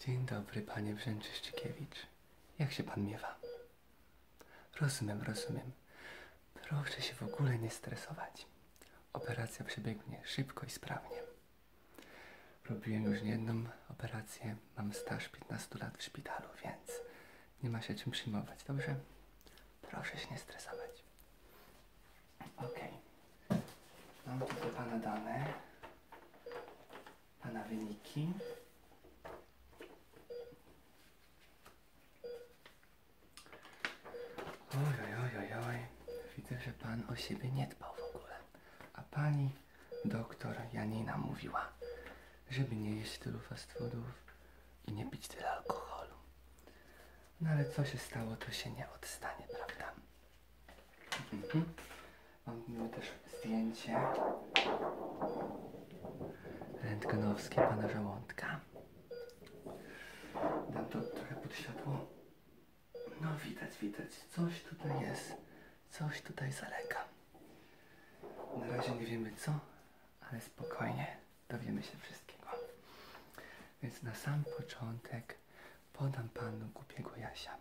Dzień dobry, panie Brzęczyszczykiewicz. Jak się pan miewa? Rozumiem, rozumiem. Proszę się w ogóle nie stresować. Operacja przebiegnie szybko i sprawnie. Robiłem już jedną operację, mam staż 15 lat w szpitalu, więc nie ma się czym przyjmować, dobrze? Proszę się nie stresować. Ok. Mam tutaj Pana dane. Pana wyniki. Oj, oj, oj, oj. Widzę, że Pan o siebie nie dbał w ogóle. A Pani doktor Janina mówiła, żeby nie jeść tylu fast i nie pić tyle alkoholu. No ale co się stało, to się nie odstanie, prawda? Mhm. Mam Mamy też zdjęcie rentgenowskie pana żołądka. Dam to trochę pod światło. No widać, widać. Coś tutaj jest. Coś tutaj zalega. Na razie nie wiemy co, ale spokojnie dowiemy się wszystkiego. Więc na sam początek podam Panu głupiego Jasia.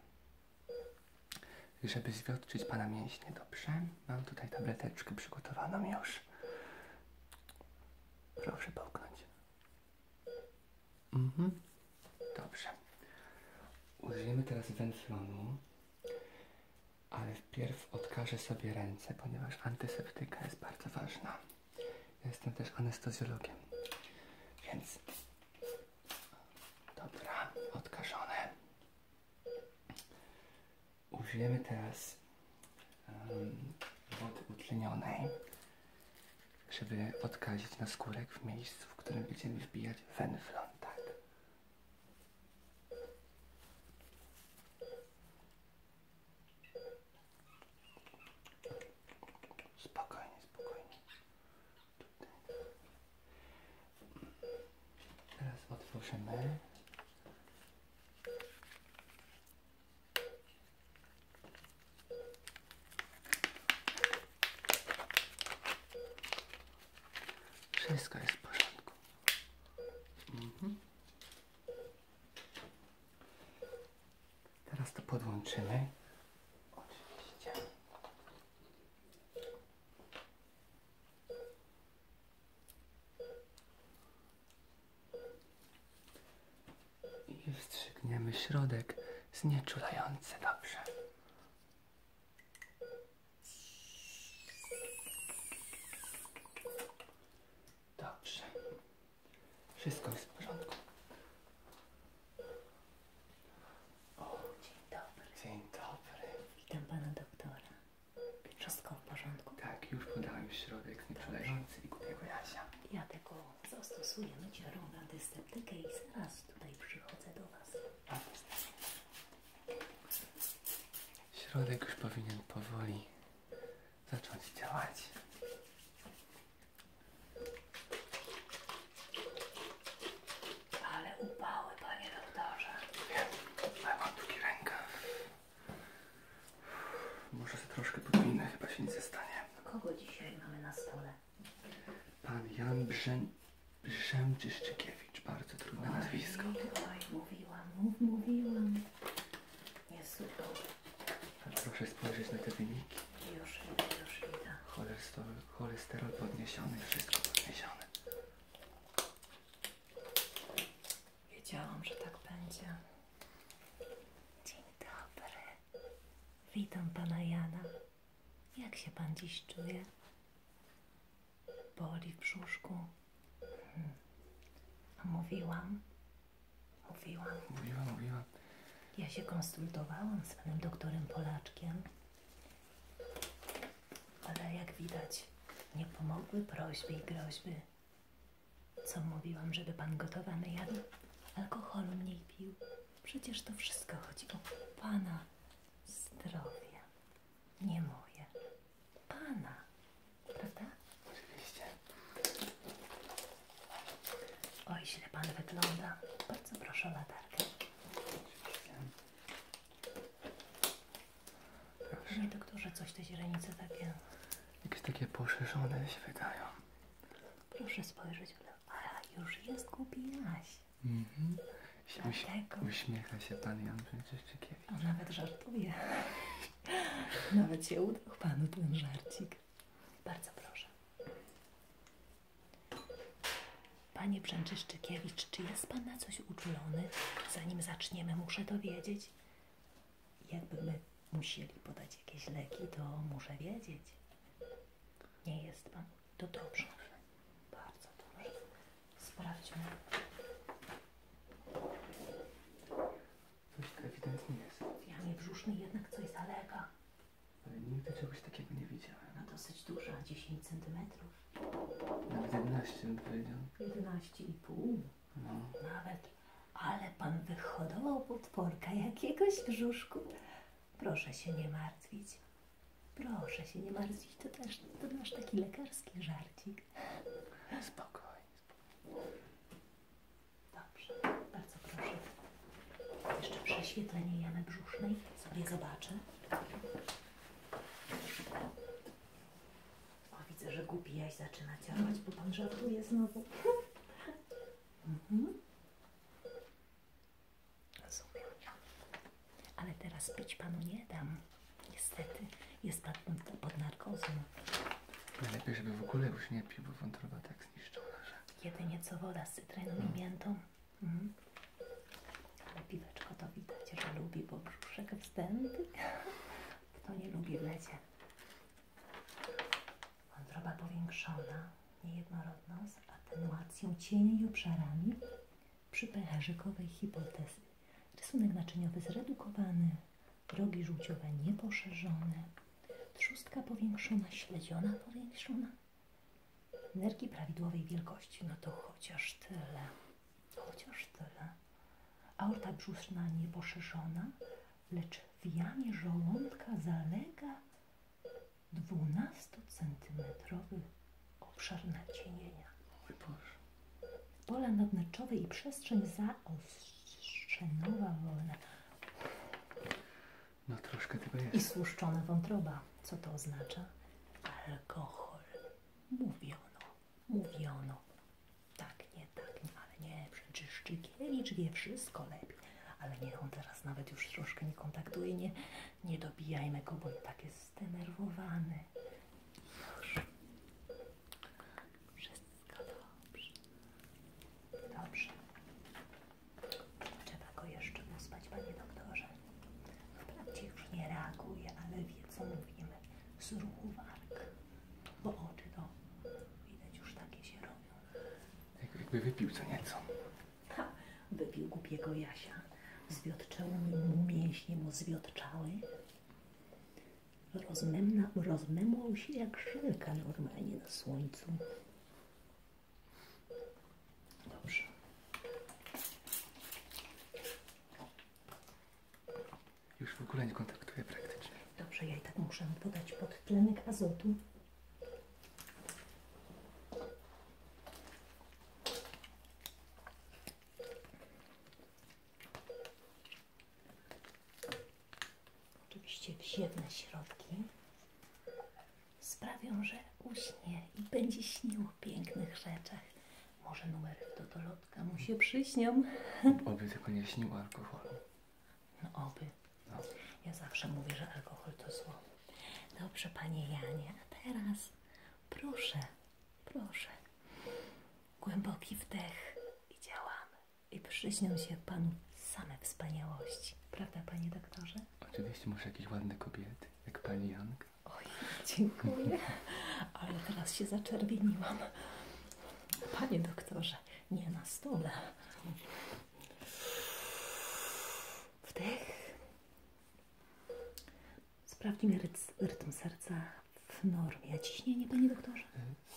Żeby zwiotczyć Pana mięśnie dobrze, mam tutaj tableteczkę przygotowaną już. Proszę połknąć. Mhm. Dobrze. Użyjemy teraz wędronu, ale wpierw odkażę sobie ręce, ponieważ antyseptyka jest bardzo ważna jestem też anestezjologiem. Więc... Dobra, odkażone. Użyjemy teraz wody utlenionej, żeby odkazić na w miejscu, w którym będziemy wbijać wenflon. Tak. Spokojnie, spokojnie. Teraz otworzymy. Wszystko jest w porządku. Mhm. Teraz to podłączymy. Oczywiście. I wstrzygniemy środek znieczulający. Dobrze. Dobrze. Wszystko jest w porządku. O, dzień dobry. Dzień dobry. Witam pana doktora. Wszystko w porządku? Tak, już podałem środek nieprzeleżący i głupiego jasia. Ja tego zastosuję myciarą na dyseptykę i zaraz tutaj przychodzę do was. Środek już powinien powoli zacząć działać. Ale upały, panie doktorze. Wiem, ale mam długi rękaw. Może się troszkę podwinę, chyba się nic nie stanie. Kogo dzisiaj mamy na stole? Pan Jan Brzę... Brzęczyszczykiewicz. Bardzo trudne Oj, nazwisko. Oj, mówiłam, mówiłam. Jest dobry. Proszę spojrzeć na te wyniki. Już idę, już idę. Cholesterol, cholesterol podniesiony, wszystko podniesione. Wiedziałam, że tak będzie. Dzień dobry. Witam pana Jana. Jak się pan dziś czuje? Boli w brzuszku? Hmm. A mówiłam, Mówiłam. Mówiła, mówiła. Ja się konsultowałam z panem doktorem Polaczkiem, ale jak widać, nie pomogły prośby i groźby. Co mówiłam, żeby pan gotowany jadł? Alkoholu mniej pił. Przecież to wszystko chodzi o pana zdrowie, nie moje. Pana. Prawda? Oczywiście. Oj, źle pan wygląda. Bardzo proszę o latarkę. Oczywiście. Proszę. Nie, doktorze, coś te źrenice takie... Jakieś takie poszerzone się wydają. Proszę spojrzeć w lewo. A, już jest głupi jaś. Mhm. Uśmiecha się pan Jan Brzęczyszczykiewicz. On nawet żartuje. nawet się udał panu ten żarcik. Bardzo proszę. Panie Brzęczyszczykiewicz, czy jest Pan na coś uczulony? Zanim zaczniemy, muszę to wiedzieć. Jakby my musieli podać jakieś leki, to muszę wiedzieć. Nie jest Pan? To dobrze. Bardzo dobrze. Sprawdźmy. Coś tak ewidentnie jest. Ja jamie brzusznej jednak coś zalega. Ale nigdy czegoś takiego nie widziałem. No dosyć duża, 10 centymetrów. Nawet 11 bym powiedział. 11,5. No. Nawet. Ale pan wyhodował potworka jakiegoś brzuszku. Proszę się nie martwić. Proszę się nie martwić, to też to nasz taki lekarski żarcik. Spokojnie, spokojnie. Dobrze, bardzo proszę. Jeszcze prześwietlenie jamy brzusznej sobie zobaczę. O, widzę, że głupi jaś zaczyna działać, bo pan żartuje znowu. mhm. Rozumiem. Ale teraz pić panu nie dam. Niestety jest pan pod narkozą. Najlepiej, żeby w ogóle już nie pił, bo wątroba tak zniszczona, że... Jedynie co woda z cytryną mm. no. Mhm. Ale piweczko to widać, że lubi, bo brzuszek wstępny. To nie lubi w lecie. Wątroba powiększona, niejednorodność, atenuacją cieni i obszarami przy pęcherzykowej hipotezy. Rysunek naczyniowy zredukowany, drogi żółciowe nieposzerzone, trzustka powiększona, śledziona powiększona, nerki prawidłowej wielkości, no to chociaż tyle, chociaż tyle. Aorta brzuszna nieposzerzona, lecz w jamie żołądka zalega 12-centymetrowy obszar nacienienia. Boże. Pola nadnerczowe i przestrzeń zaostrzona Szczenowa wolna. No troszkę tego jest. I słuszczona wątroba. Co to oznacza? Alkohol. Mówiono. Mówiono. Tak, nie, tak, nie, ale nie. Przecież czy wie wszystko lepiej. Ale niech on teraz nawet już troszkę nie kontaktuje. Nie, nie dobijajmy go, bo on tak jest zdenerwowany. Już. Wszyscy wszystko dobrze. Dobrze. Trzeba go jeszcze uspać, panie doktorze. Wprawdzie już nie reaguje, ale wie, co mówimy. Z ruchu warg. Bo oczy to widać już takie się robią. jakby wypił co nieco. Ha, wypił głupiego Jasia. Zwiotczały mu mięśnie mu zwiotczały. Rozmemna, rozmemłał się jak żelka normalnie na słońcu. Dobrze. Już w ogóle nie kontaktuję praktycznie. Dobrze, ja i tak muszę podać podtlenek azotu. Oczywiście wziewne środki sprawią, że uśnie i będzie śnił o pięknych rzeczach. Może numer do dolotka mu się przyśnią. Oby tylko nie śnił alkoholu. No oby. No. Ja zawsze mówię, że alkohol to zło. Dobrze, panie Janie, a teraz proszę, proszę, głęboki wdech i działamy i przyśnią się Panu same wspaniałości. Prawda, Panie doktorze? Oczywiście, muszę jakieś ładne kobiety, jak Pani Janka. Oj, dziękuję, ale teraz się zaczerwieniłam. Panie doktorze, nie na stole. Wdech. Sprawdźmy rytm serca w normie. Ciśnienie, panie doktorze?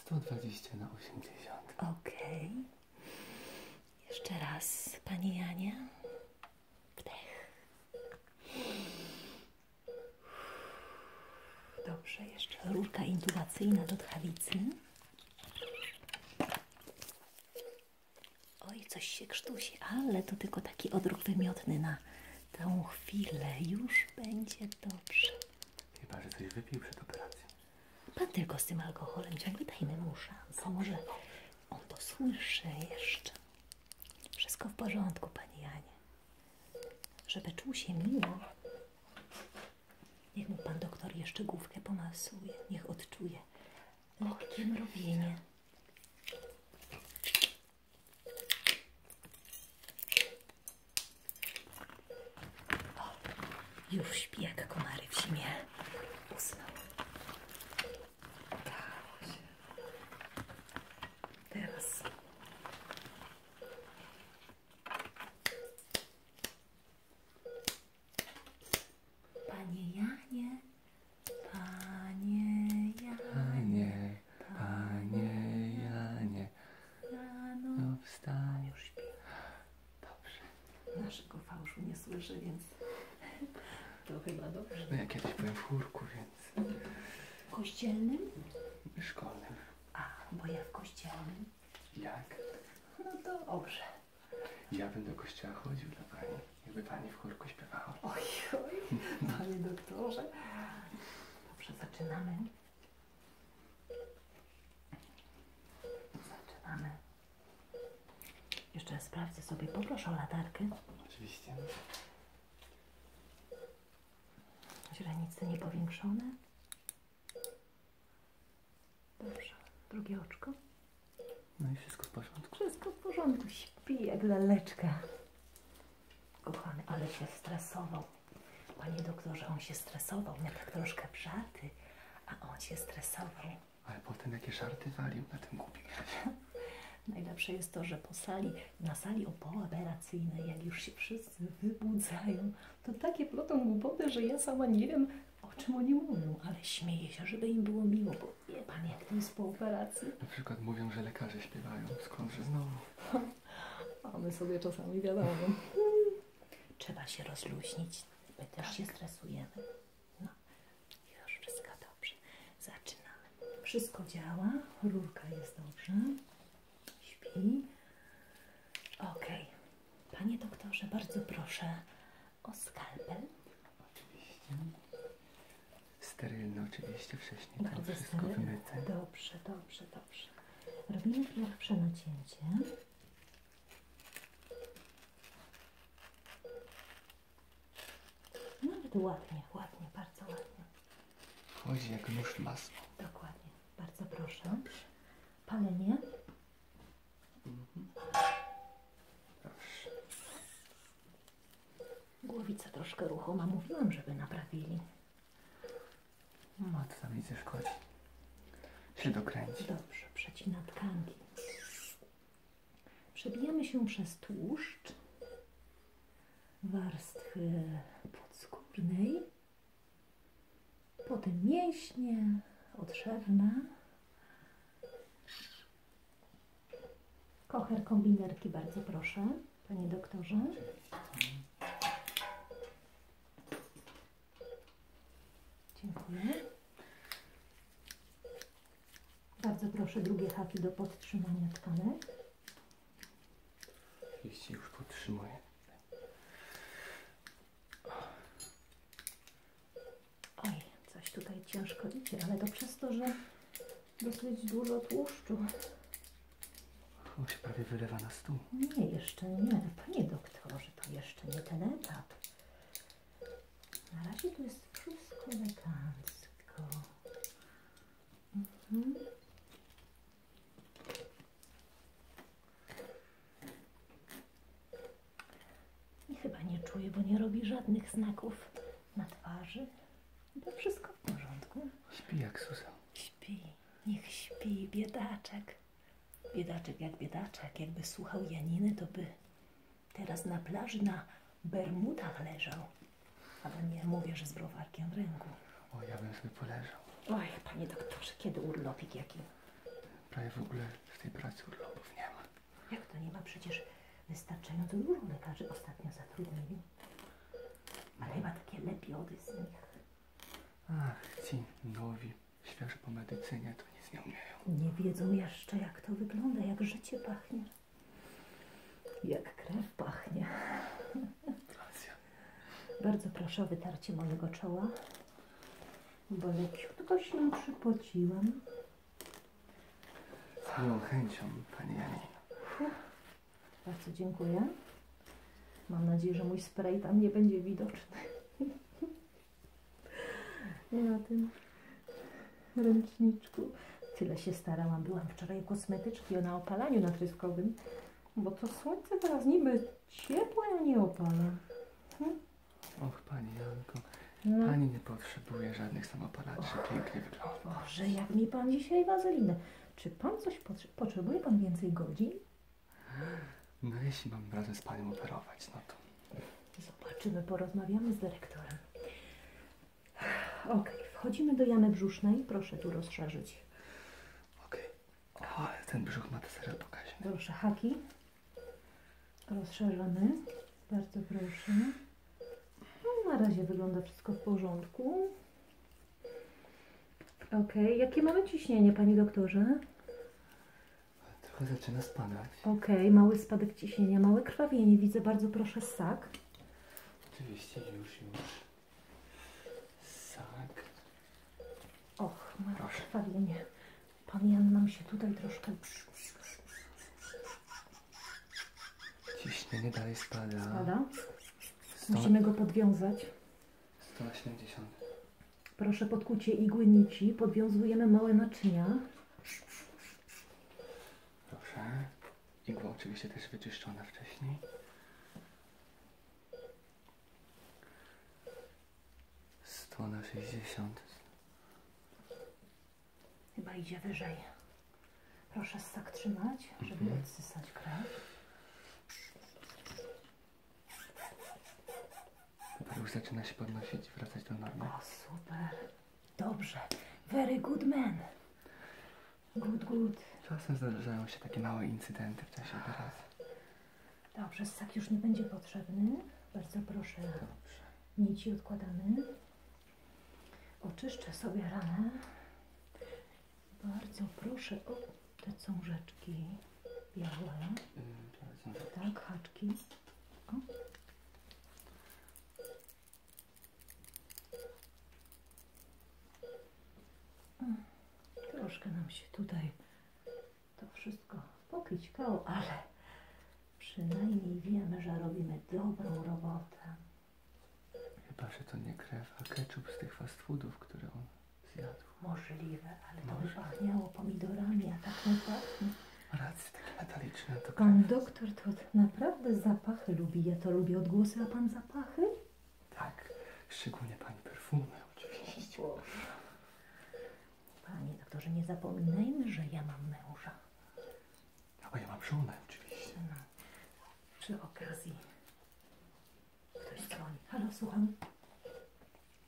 120 na 80. Okej. Jeszcze raz, Pani Janie. Wdech. Dobrze, jeszcze rurka intubacyjna do tchawicy. Oj, coś się krztusi, ale to tylko taki odruch wymiotny na tą chwilę. Już będzie dobrze. Chyba, że coś wypił przed operacją. Pan tylko z tym alkoholem ciągle dajmy mu szansę. Może on to słyszy jeszcze. Wszystko w porządku, Pani Janie. Żeby czuł się miło, niech mu Pan doktor jeszcze główkę pomasuje. Niech odczuje lekkie mrowienie. O, już śpi jak komary w zimie. Usnął. Dało się. Teraz. Panie Janie, Panie Janie, Panie Janie, rano no wstań, Dobrze. Naszego fałszu nie słyszy, więc to chyba dobrze. No ja kiedyś byłem w chórku, więc... Kościelnym? Szkolnym. A, bo ja w kościelnym. Jak? No to dobrze. Ja będę do kościoła chodził dla pani, jakby pani w chórku śpiewała. Oj, oj, panie doktorze. Dobrze, zaczynamy. Zaczynamy. Jeszcze sprawdzę sobie. Poproszę o latarkę. Oczywiście. Źrenice powiększone. Dobrze. Drugie oczko. No i wszystko w porządku. Wszystko w porządku. Śpi jak laleczka. Kochany, ale się stresował. Panie doktorze, on się stresował. Miał tak troszkę wrzaty, a on się stresował. Ale potem jakie żarty walił na tym głupim Najlepsze jest to, że po sali, na sali opooperacyjnej, jak już się wszyscy wybudzają, to takie plotą głupoty, że ja sama nie wiem, o czym oni mówią, ale śmieję się, żeby im było miło, bo wie pan, jak to jest po operacji. Na przykład mówią, że lekarze śpiewają, skądże znowu. A my sobie czasami wiadomo. Trzeba się rozluźnić, My też tak. się stresujemy. No, już wszystko dobrze. Zaczynamy. Wszystko działa, rurka jest dobrze. Śpi. Ok. Panie doktorze, bardzo proszę o skalpel. Oczywiście. Sterylny oczywiście wcześniej. Bardzo wszystko wymyte. Dobrze, dobrze, dobrze. Robimy pierwsze nacięcie. Nawet no, ładnie, ładnie, bardzo ładnie. Chodzi jak nóż masło. Dokładnie. Bardzo proszę. Palenie. Mhm. Głowica troszkę ruchoma. Mówiłam, żeby naprawili. Matka mi ze szkodzi. Się dokręci. Dobrze, przecina tkanki. Przebijamy się przez tłuszcz warstwy podskórnej, potem mięśnie, odszewna. Kocher kombinerki, bardzo proszę, panie doktorze. Dziękuję. Bardzo proszę drugie haki do podtrzymania tkanek. Jeśli już podtrzymuję. Oj, coś tutaj ciężko widzieć, ale to przez to, że dosyć dużo tłuszczu. O, się prawie wylewa na stół. Nie, jeszcze nie. Panie doktorze to jeszcze nie ten etap. Na razie to jest wszystko elegancko. Mhm. I chyba nie czuję, bo nie robi żadnych znaków na twarzy. To wszystko w porządku. Śpi jak Susa. Śpi. Niech śpi, biedaczek. Biedaczek jak biedaczek, jakby słuchał Janiny, to by teraz na plaży na Bermudach leżał. Ale nie mówię, że z browarkiem w ręku. O, ja bym sobie poleżał. Oj, panie doktorze, kiedy urlopik jaki? Prawie w ogóle w tej pracy urlopów nie ma. Jak to nie ma? Przecież wystarczająco dużo lekarzy ostatnio zatrudnili. Ale chyba takie lepi z nich. Ach, ci nowi Świeżo po medycynie to nic nie umieją. Nie wiedzą jeszcze, jak to wygląda, jak życie pachnie. Jak krew pachnie. Bardzo proszę o wytarcie mojego czoła, bo leciutko się przypociłam. Z miłą chęcią, Pani Janina. Bardzo dziękuję. Mam nadzieję, że mój spray tam nie będzie widoczny. Nie na tym ręczniczku. Tyle się starałam. Byłam wczoraj u kosmetyczki na opalaniu natryskowym, bo to słońce teraz niby ciepłe, a nie opala. Hmm? Och, Pani Janko, no. Pani nie potrzebuje żadnych samopalaczy. Och, Pięknie wygląda. Boże, jak mi Pan dzisiaj wazelinę. Czy Pan coś potrzebuje? Pan więcej godzin? No jeśli mam radę z Panią operować, no to... Zobaczymy, porozmawiamy z dyrektorem. Ok, wchodzimy do jamy brzusznej. Proszę tu rozszerzyć. Ok. ten brzuch ma te serio pokaźny. Proszę, haki. Rozszerzony. Bardzo proszę. No, na razie wygląda wszystko w porządku. Ok, jakie mamy ciśnienie, Panie doktorze? Trochę zaczyna spadać. Okej, mały spadek ciśnienia, małe krwawienie. Widzę, bardzo proszę sak. Oczywiście, już, już. Sak. Och, małe krwawienie. Pan Jan się tutaj troszkę... Ciśnienie dalej spada. Spada? Musimy go podwiązać. 180. Proszę podkucie igły nici, podwiązujemy małe naczynia. Proszę, Igła oczywiście też wyczyszczona wcześniej. Sto na sześćdziesiąt. Chyba idzie wyżej. Proszę ssak trzymać, żeby mhm. odsysać krew. Dobra, już zaczyna się podnosić, wracać do normy. O, super. Dobrze. Very good man. Good, good. Czasem zdarzają się takie małe incydenty w czasie operacji. Dobrze, ssak już nie będzie potrzebny. Bardzo proszę. Dobrze. Nici odkładamy. Oczyszczę sobie ranę. Bardzo proszę o te są rzeczki białe. tak, haczki. O. Troszkę nam się tutaj to wszystko pokićkało, ale przynajmniej wiemy, że robimy dobrą robotę. Chyba, że to nie krew, a ketchup z tych fast foodów, które on zjadł. Możliwe, ale to Może. by pachniało pomidorami, a tak nie pachnie. Racje takie metaliczne. To pan doktor to naprawdę zapachy lubi. Ja to lubię odgłosy, a pan zapachy? Tak, szczególnie pani perfumy oczywiście. Panie doktorze, nie zapominajmy, że ja mam męża. A no ja mam żonę oczywiście. No. Przy okazji ktoś dzwoni. Halo, słucham.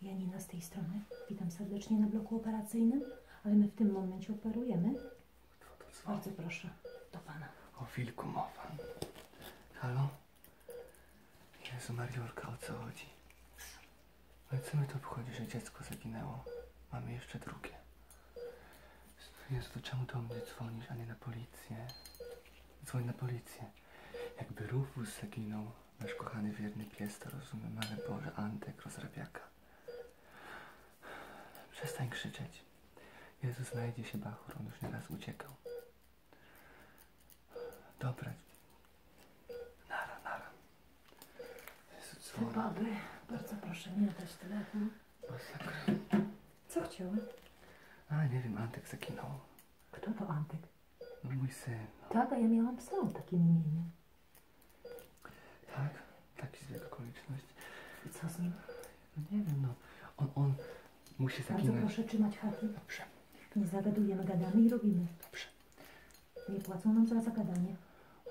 Janina z tej strony. Witam serdecznie na bloku operacyjnym, ale my w tym momencie operujemy. Bardzo proszę, do Pana. O wilku mowa. Halo? Jezu Mariolka, o co chodzi? Ale co mi to obchodzi, że dziecko zaginęło? Mamy jeszcze drugie. Jezu, to czemu do mnie dzwonisz, a nie na policję? Dzwoni na policję. Jakby Rufus zaginął, Nasz kochany wierny pies to rozumiem, ale Boże, Antek, rozrabiaka. Przestań krzyczeć. Jezus znajdzie się Bachur, on już nieraz uciekał. Dobra. Nara, nara. Jezu, co bardzo proszę, nie dać telefon. Masakra. Co chciały? A, nie wiem, Antek zaginął. Kto to Antek? mój syn. No. Tak, a ja miałam psa o takim imieniu. Tak? Taki zbieg okoliczność. I co z nim? No nie wiem, no. On, on musi zaginąć. Bardzo proszę trzymać haki. Dobrze. Nie zagadujemy, gadamy i robimy. Dobrze. Nie płacą nam za zagadanie.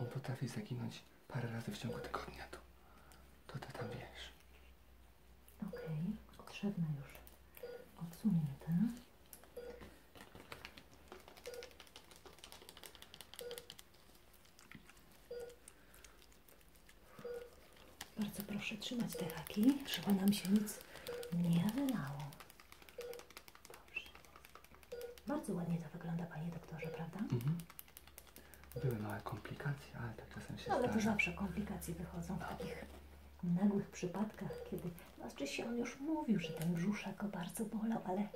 On potrafi zaginąć parę razy w ciągu tego dnia, To ty tam wiesz. Okej, okay. już. Odsunięte. Bardzo proszę trzymać te haki, żeby nam się nic nie wylało. Bardzo ładnie to wygląda, panie doktorze, prawda? Mhm. Były małe komplikacje, ale tak czasem się no, Ale to zawsze komplikacje wychodzą w takich nagłych przypadkach, kiedy znaczy się on już mówił, że ten brzuszek go bardzo bolał, ale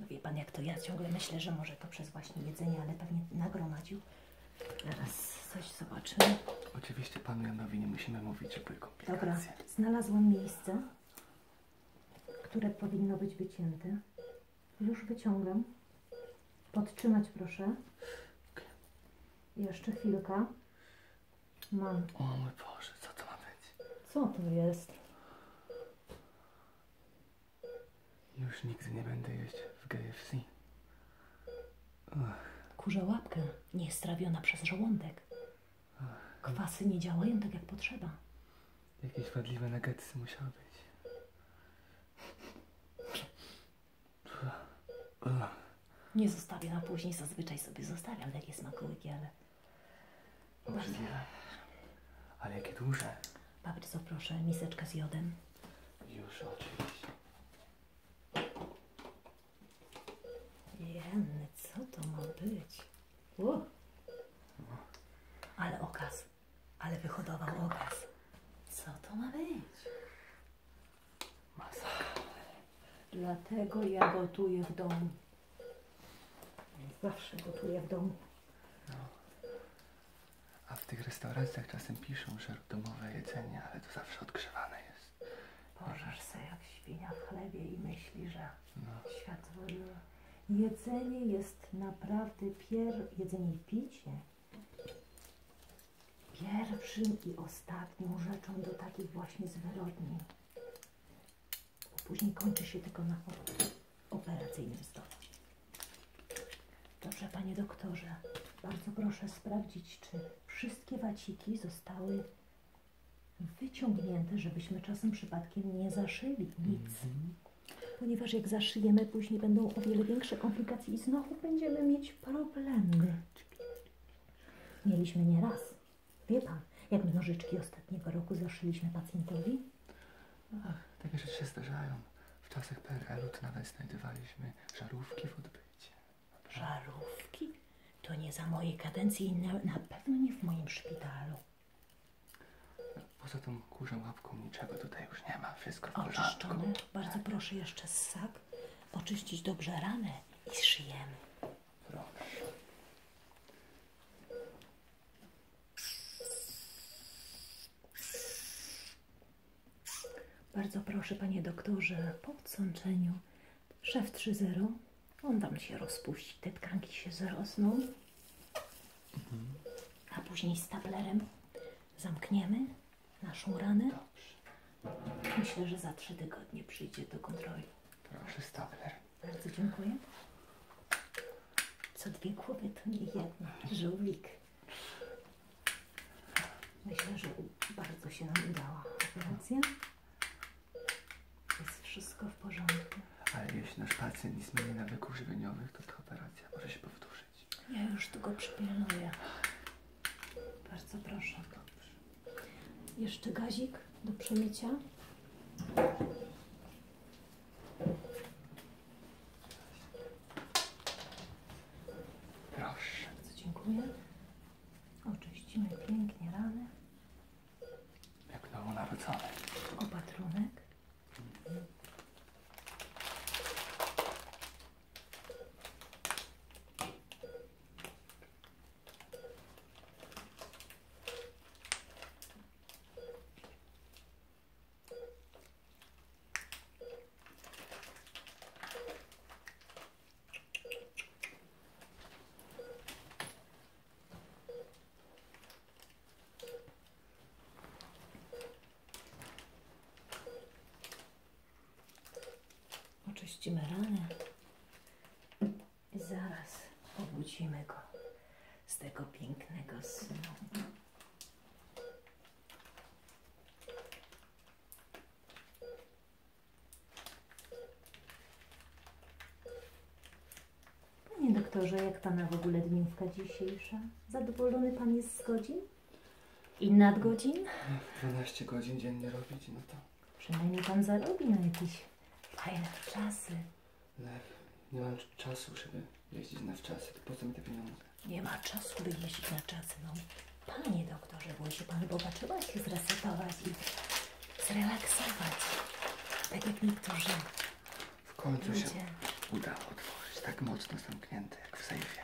no wie pan jak to ja ciągle myślę, że może to przez właśnie jedzenie, ale pewnie nagromadził. Zaraz coś zobaczymy. Oczywiście panu Janowi nie musimy mówić, że były Dobra, Znalazłem miejsce, które powinno być wycięte. Już wyciągam. Podtrzymać proszę. Jeszcze chwilka. Mam. No. O mój Boże, co to ma być? Co to jest? Już nigdy nie będę jeść w KFC. Ach. Kurza łapkę, nie jest trawiona przez żołądek. Kwasy nie działają tak jak potrzeba. Jakieś wadliwe nuggetsy musiały być. Nie zostawię na później, zazwyczaj sobie zostawiam takie smakołyki, ale... Obrzydliwe. Ale jakie duże. Bardzo proszę, miseczka z jodem. Już, oczywiście. Jenny, co to ma być? U. Ale okaz. Ale wyhodował okaz. Co to ma być? Masakra. Dlatego ja gotuję w domu. Zawsze gotuję w domu. No. A w tych restauracjach czasem piszą, że domowe jedzenie, ale to zawsze odgrzewane jest. Bożesz se jak świnia w chlebie i myśli, że no. świat Jedzenie jest naprawdę pier... i pierwszym i ostatnią rzeczą do takich właśnie zwyrodnień. Później kończy się tylko na operacyjnym stole. Dobrze, panie doktorze, bardzo proszę sprawdzić, czy wszystkie waciki zostały wyciągnięte, żebyśmy czasem przypadkiem nie zaszyli nic. Mhm. Ponieważ jak zaszyjemy, później będą o wiele większe komplikacje i znowu będziemy mieć problemy. Mieliśmy nieraz. Wie pan, jak my ostatniego roku zaszliśmy pacjentowi? Ach, takie rzeczy się zdarzają. W czasach PRL-u nawet znajdowaliśmy żarówki w odbycie. Żarówki? To nie za mojej kadencji i na, pewno nie w moim szpitalu. Poza tą kurzą łapką niczego tutaj już nie ma. Wszystko w porządku. Bardzo proszę jeszcze z ssak oczyścić dobrze ranę i szyjemy. Proszę. Bardzo proszę, panie doktorze, po odsączeniu szef 3.0, on wam się rozpuścić, te tkanki się zrosną, a później z tablerem zamkniemy naszą ranę. Myślę, że za trzy tygodnie przyjdzie do kontroli. Proszę, stapler. Bardzo dziękuję. Co dwie głowy to nie jedna. Żółwik. Myślę, że bardzo się nam udała operacja. Jest wszystko w porządku. Ale jeśli nasz pacjent nie zmieni nawyków żywieniowych, to ta operacja może się powtórzyć. Ja już tu go przypilnuję. Bardzo proszę. Dobrze. Jeszcze gazik do przemycia. Proszę, dziękuję. Oczyścimy pięknie rany. Jak nowonarodzony. Opatrunek. Oczyścimy rany. I zaraz obudzimy go z tego pięknego snu. Panie doktorze, jak Pana w ogóle dniówka dzisiejsza? Zadowolony Pan jest z godzin? I nad godzin? 12 godzin dziennie robić, no to... Przynajmniej Pan zarobi na jakiś a ile to klasy? Lew, nie mam czasu, żeby jeździć na wczasy. To po co mi te pieniądze? Nie ma czasu, by jeździć na czasy. No, panie doktorze, bo się pan popatrzyła się zresetować i zrelaksować. Tak jak niektórzy. W końcu się udało otworzyć. Tak mocno zamknięte, jak w sejfie.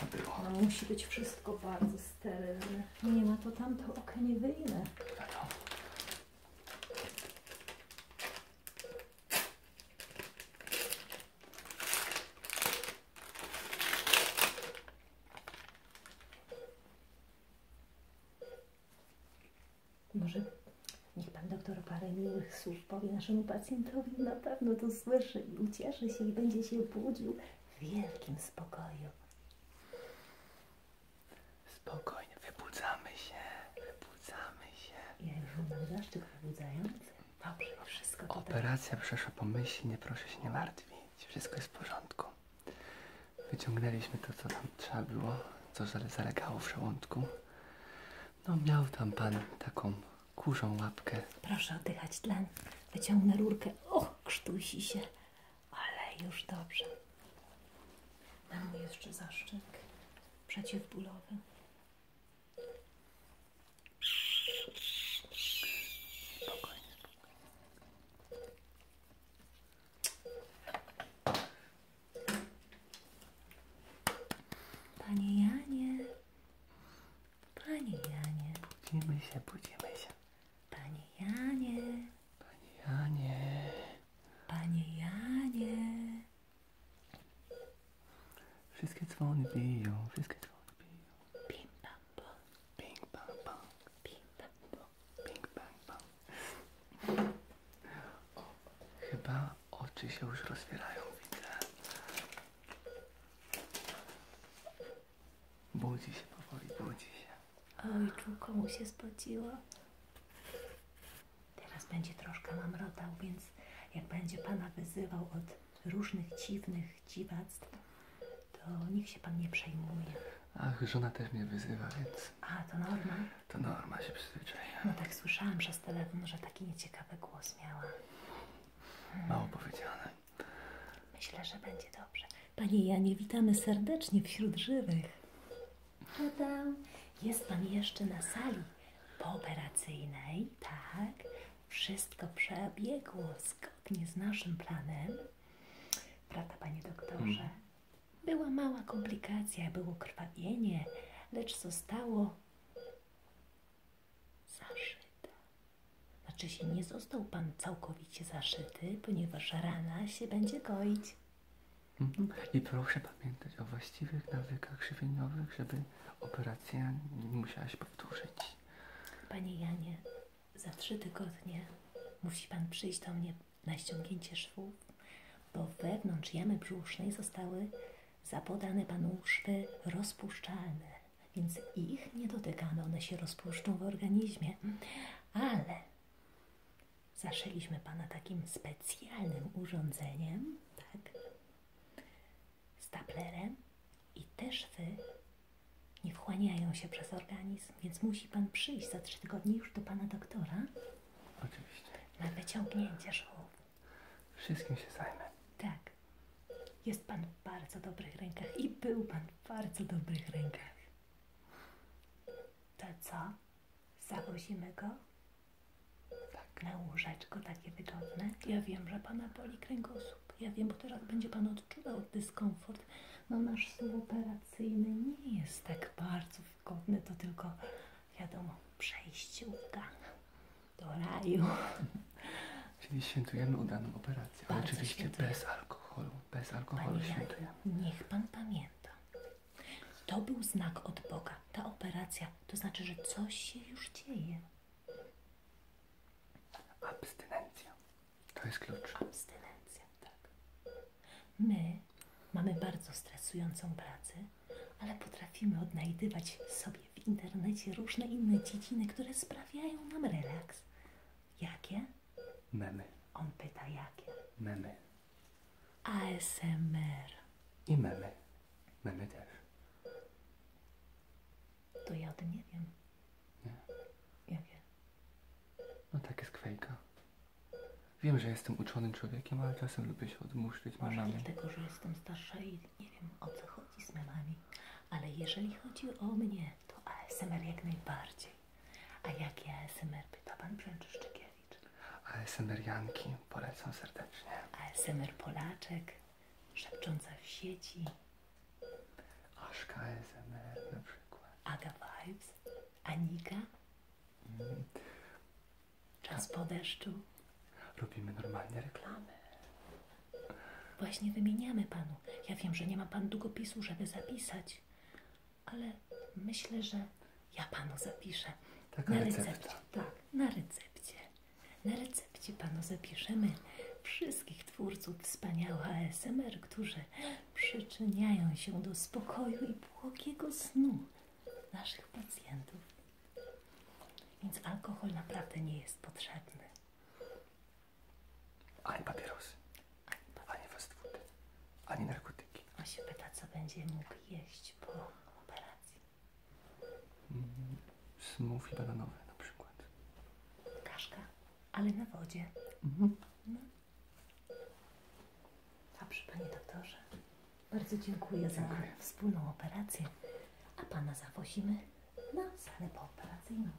To było. No, musi być wszystko bardzo sterylne. Nie ma to tamto okaniewyjne. Wiadomo. Może niech Pan doktor parę miłych słów powie naszemu pacjentowi, na pewno to słyszy i ucieszy się i będzie się budził w wielkim spokoju. Spokojnie, wybudzamy się, wybudzamy się. Ja już mam zaszczyt wybudzający. Dobrze, wszystko tutaj. Operacja przeszła pomyślnie, proszę się nie martwić. Wszystko jest w porządku. Wyciągnęliśmy to, co nam trzeba było, co zalegało w żołądku. No miał tam pan taką kurzą łapkę. Proszę oddychać tlen. Wyciągnę rurkę. Och, krztusi się ale już dobrze. Na Mam jeszcze zaszczyk przeciwbólowy. Spokojnie, spokojnie. Panie Janie, się, budzimy się. Panie Janie. Panie Janie. Panie Janie. Wszystkie dzwony biją, wszystkie dzwony biją. Pim pam pom. Ping pam pom. Pim pam O, chyba oczy się już rozwierają, widzę. Budzi się powoli, budzi się. Oj, czuł komu się spociło. Teraz będzie troszkę mamrotał, więc jak będzie Pana wyzywał od różnych dziwnych dziwactw, to niech się Pan nie przejmuje. Ach, żona też mnie wyzywa, więc... A, to norma? To norma, się przyzwyczaja. No tak słyszałam przez telefon, że taki nieciekawy głos miała. Mało powiedziane. Myślę, że będzie dobrze. Panie Janie, witamy serdecznie wśród żywych. Tada! Jest Pan jeszcze na sali pooperacyjnej, tak? Wszystko przebiegło zgodnie z naszym planem. Prawda, Panie doktorze? Hmm. Była mała komplikacja, było krwawienie, lecz zostało zaszyte. Znaczy się, nie został Pan całkowicie zaszyty, ponieważ rana się będzie goić. Mhm. I proszę pamiętać o właściwych nawykach żywieniowych, żeby operacja nie musiałaś powtórzyć. Panie Janie, za trzy tygodnie musi Pan przyjść do mnie na ściągnięcie szwów, bo wewnątrz jamy brzusznej zostały zapodane Panu szwy rozpuszczalne, więc ich nie dotykamy, one się rozpuszczą w organizmie. Mhm. Ale Zaszyliśmy Pana takim specjalnym urządzeniem, tak? Staplerem i teszwy nie wchłaniają się przez organizm, więc musi Pan przyjść za trzy tygodnie już do Pana doktora. Oczywiście. Na wyciągnięcie szwów. Wszystkim się zajmę. Tak. Jest Pan w bardzo dobrych rękach i był Pan w bardzo dobrych rękach. To co? Zaprosimy go tak. na takie wygodne. Ja wiem, że Pana boli kręgosłup. Ja wiem, bo teraz będzie Pan odczuwał dyskomfort. No nasz stół operacyjny nie jest tak bardzo wygodny. To tylko, wiadomo, przejściówka do raju. Czyli świętujemy udaną operację. oczywiście bez alkoholu. Bez alkoholu Panie świętujemy. Niech Pan pamięta, to był znak od Boga, ta operacja. To znaczy, że coś się już dzieje. Abstynencja. To jest klucz. Abstynencja, tak. My mamy bardzo stresującą pracę, ale potrafimy odnajdywać sobie w internecie różne inne dziedziny, które sprawiają nam relaks. Jakie? Memy. On pyta jakie? Memy. ASMR. I memy. Memy też. To ja o tym nie wiem. Nie? wiem No tak jest kwejka. Wiem, że jestem uczonym człowiekiem, ale czasem lubię się odmuszczyć Może memami. dlatego, że jestem starsza i nie wiem o co chodzi z memami. Ale jeżeli chodzi o mnie, to ASMR jak najbardziej. A jakie ASMR pyta pan Brzęczyszczykiewicz? Page. janki polecam serdecznie. ASMR Polaczek, Szepcząca w sieci. Aszka ASMR na przykład. Ada Vibes, Anika. Mm. Czas po deszczu. Robimy normalnie reklamy. Właśnie wymieniamy panu. Ja wiem, że nie ma pan długopisu, żeby zapisać, ale myślę, że ja Panu zapiszę. Tak, na recepta. recepcie. Tak, na recepcie. Na recepcie Panu zapiszemy wszystkich twórców wspaniałych ASMR, którzy przyczyniają się do spokoju i błogiego snu naszych pacjentów. Więc alkohol naprawdę nie jest potrzebny. Ale papierosy ani fast ani narkotyki. On się pyta, co będzie mógł jeść po operacji. Mm, smoothie bananowe na przykład. Kaszka, ale na wodzie. Mhm. No. Dobrze, panie doktorze. Bardzo dziękuję, za wspólną operację, a pana zawozimy na salę pooperacyjną.